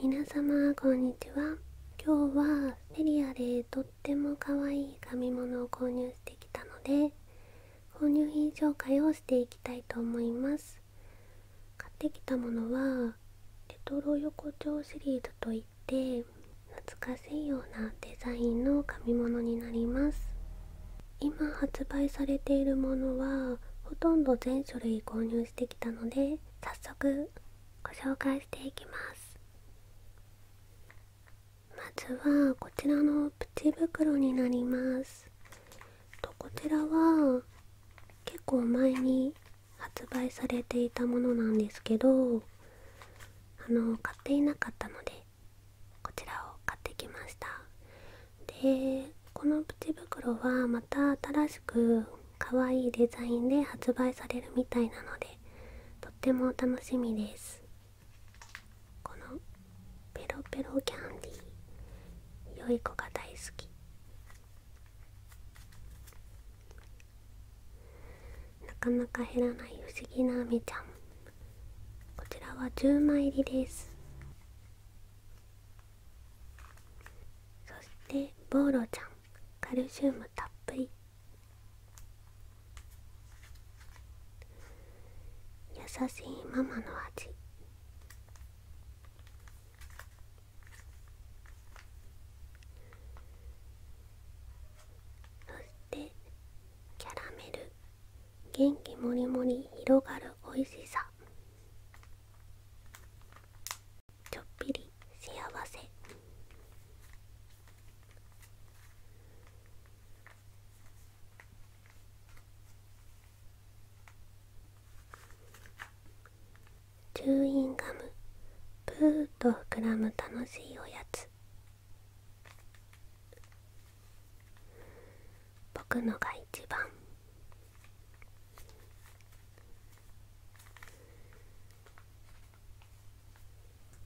皆様こんにちは今日はセリアでとっても可愛い紙物を購入してきたので購入品紹介をしていきたいと思います買ってきたものはレトロ横丁シリーズといって懐かしいようなデザインの紙物になります今発売されているものはほとんど全種類してきたので早速ご紹介していきますまずはこちらのプチ袋になりますこちらは結構前に発売されていたものなんですけどあの買っていなかったのでこちらを買ってきましたでこのプチ袋はまた新しく可愛いデザインで発売されるみたいなのでとっても楽しみですこのペロペロキャンディー良い子が大好きなかなか減らない不思議なあめちゃんこちらは10枚入りですそしてボーロちゃんカルシウムたっぷり優しいママの味そしてキャラメル元気もりもり広がるおいしさちょっぴり幸せチューインガムプーッと膨らむ楽しいおやつ僕のが一番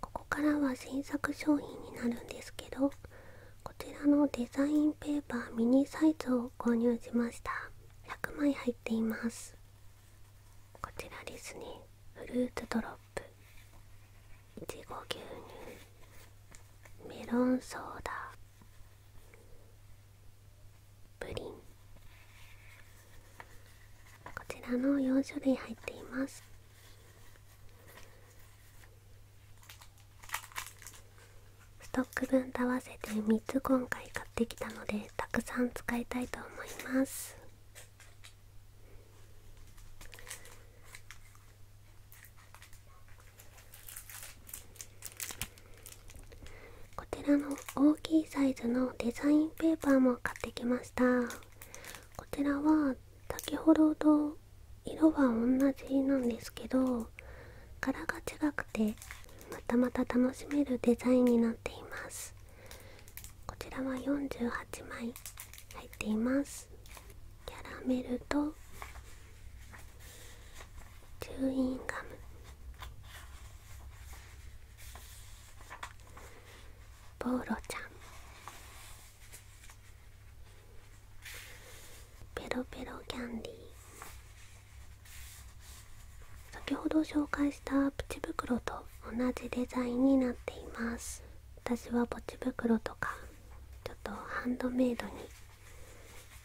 ここからは新作商品になるんですけどこちらのデザインペーパーミニサイズを購入しました100枚入っていますこちらですねフルーツドロップいちご牛乳メロンソーダプリンこちらの4種類入っていますストック分と合わせて3つ今回買ってきたのでたくさん使いたいと思いますこちらの大きいサイズのデザインペーパーも買ってきましたこちらは先ほどと色は同じなんですけど柄が違くてまたまた楽しめるデザインになっていますこちらは48枚入っていますキャラメルとチューインガムボーロちゃんペロペロキャンディー先ほど紹介したプチ袋と同じデザインになっています私はポチ袋とかちょっとハンドメイドに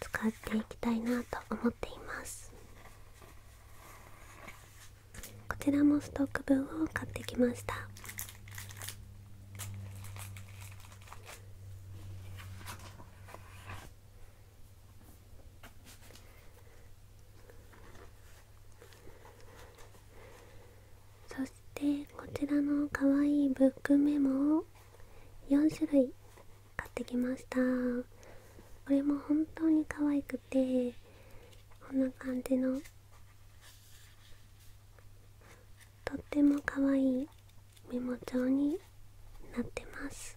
使っていきたいなと思っていますこちらもストック分を買ってきましたそしてこちらのかわいいブックメモを4種類買ってきましたこれも本当に可愛くてこんな感じのとっても可愛いメモ帳になってます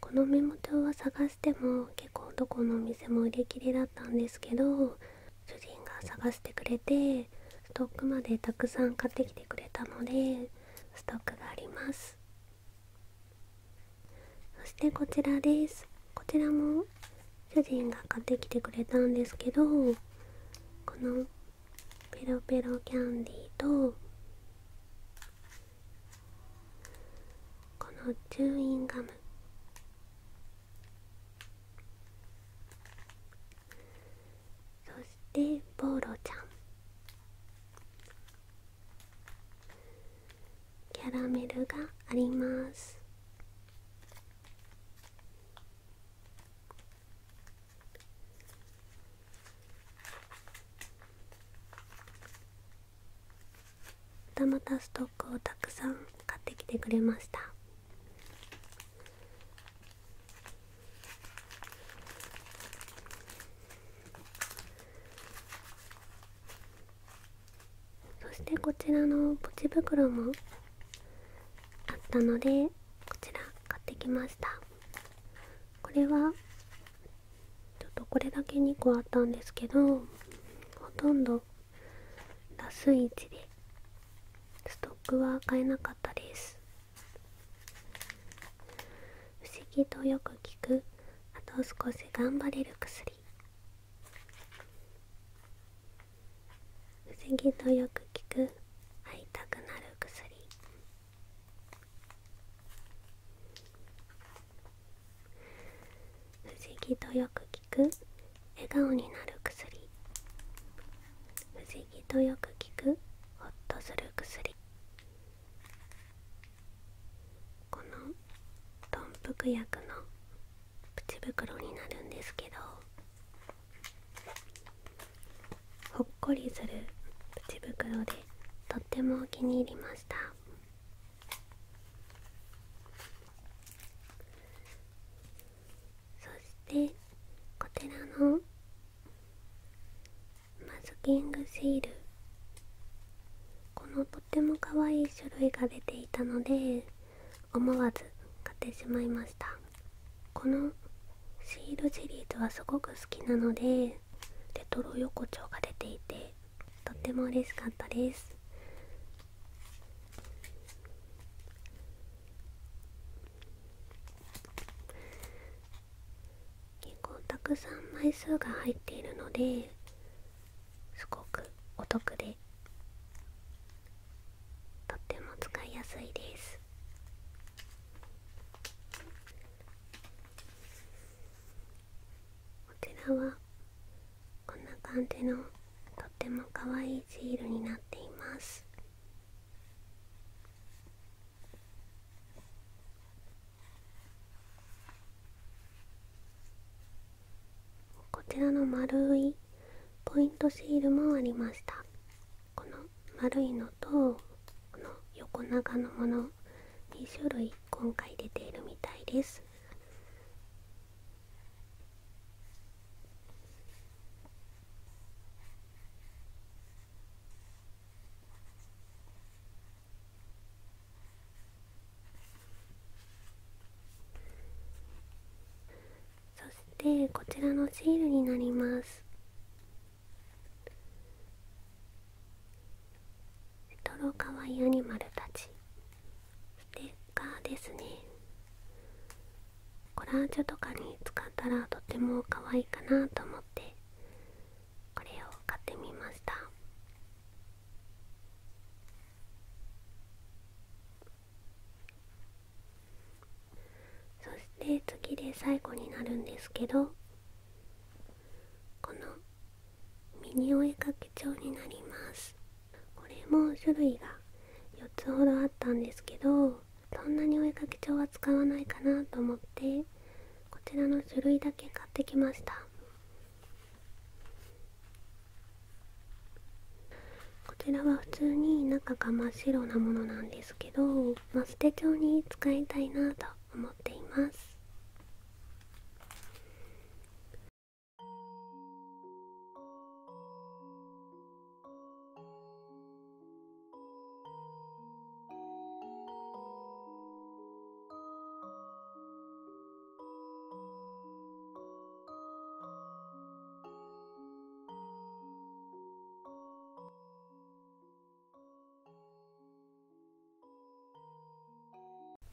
このメモ帳は探しても結構どこのお店も売り切れだったんですけど主人が探してくれてストックまでたくさん買ってきてくれたのでストックがあります。そしてこちらですこちらも主人が買ってきてくれたんですけどこのペロペロキャンディーとこのチューインガムそしてボーロちゃんキャラメルがありますまたまたストックをたくさん買ってきてくれましたそしてこちらのポチ袋もあったのでこちら買ってきましたこれはちょっとこれだけ2個あったんですけどほとんどラスイチでストックは買えなかったです不思議とよく聞くあと少し頑張れる薬不思議とよく聞く会いたくなる薬不思議とよく聞く笑顔になる薬不思議とよく聞くほっとする薬不この豚腹薬のプチ袋になるんですけどほっこりするプチ袋でとってもお気に入りましたそしてこちらのマスキングシールこのとっても可愛い種類が出ていたので思わず買ってしまいましたこのシールシリーズはすごく好きなのでレトロ横丁が出ていてとっても嬉しかったです結構たくさん枚数が入っているのですごくお得でとっても使いやすいですこちらはこんな感じのとっても可愛いジールになっていますこちらの丸いポイントシールもありましたこの丸いのとこの横長のもの2種類今回出ているみたいですそしてこちらのシールになりますレトロかわいいアニマルたちステッカーですねコラージュとかに使ったらとても可愛いかなと思ってこれを買ってみましたそして次で最後になるんですけどこのミニお絵かき帳になりますこれも種類が4つほどあったんですけどそんなにお絵かき帳は使わないかなと思ってこちらの種類だけ買ってきましたこちらは普通に中が真っ白なものなんですけどマステ帳に使いたいなと思っています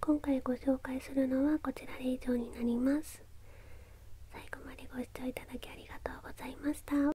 今回ご紹介するのはこちらで以上になります。最後までご視聴いただきありがとうございました。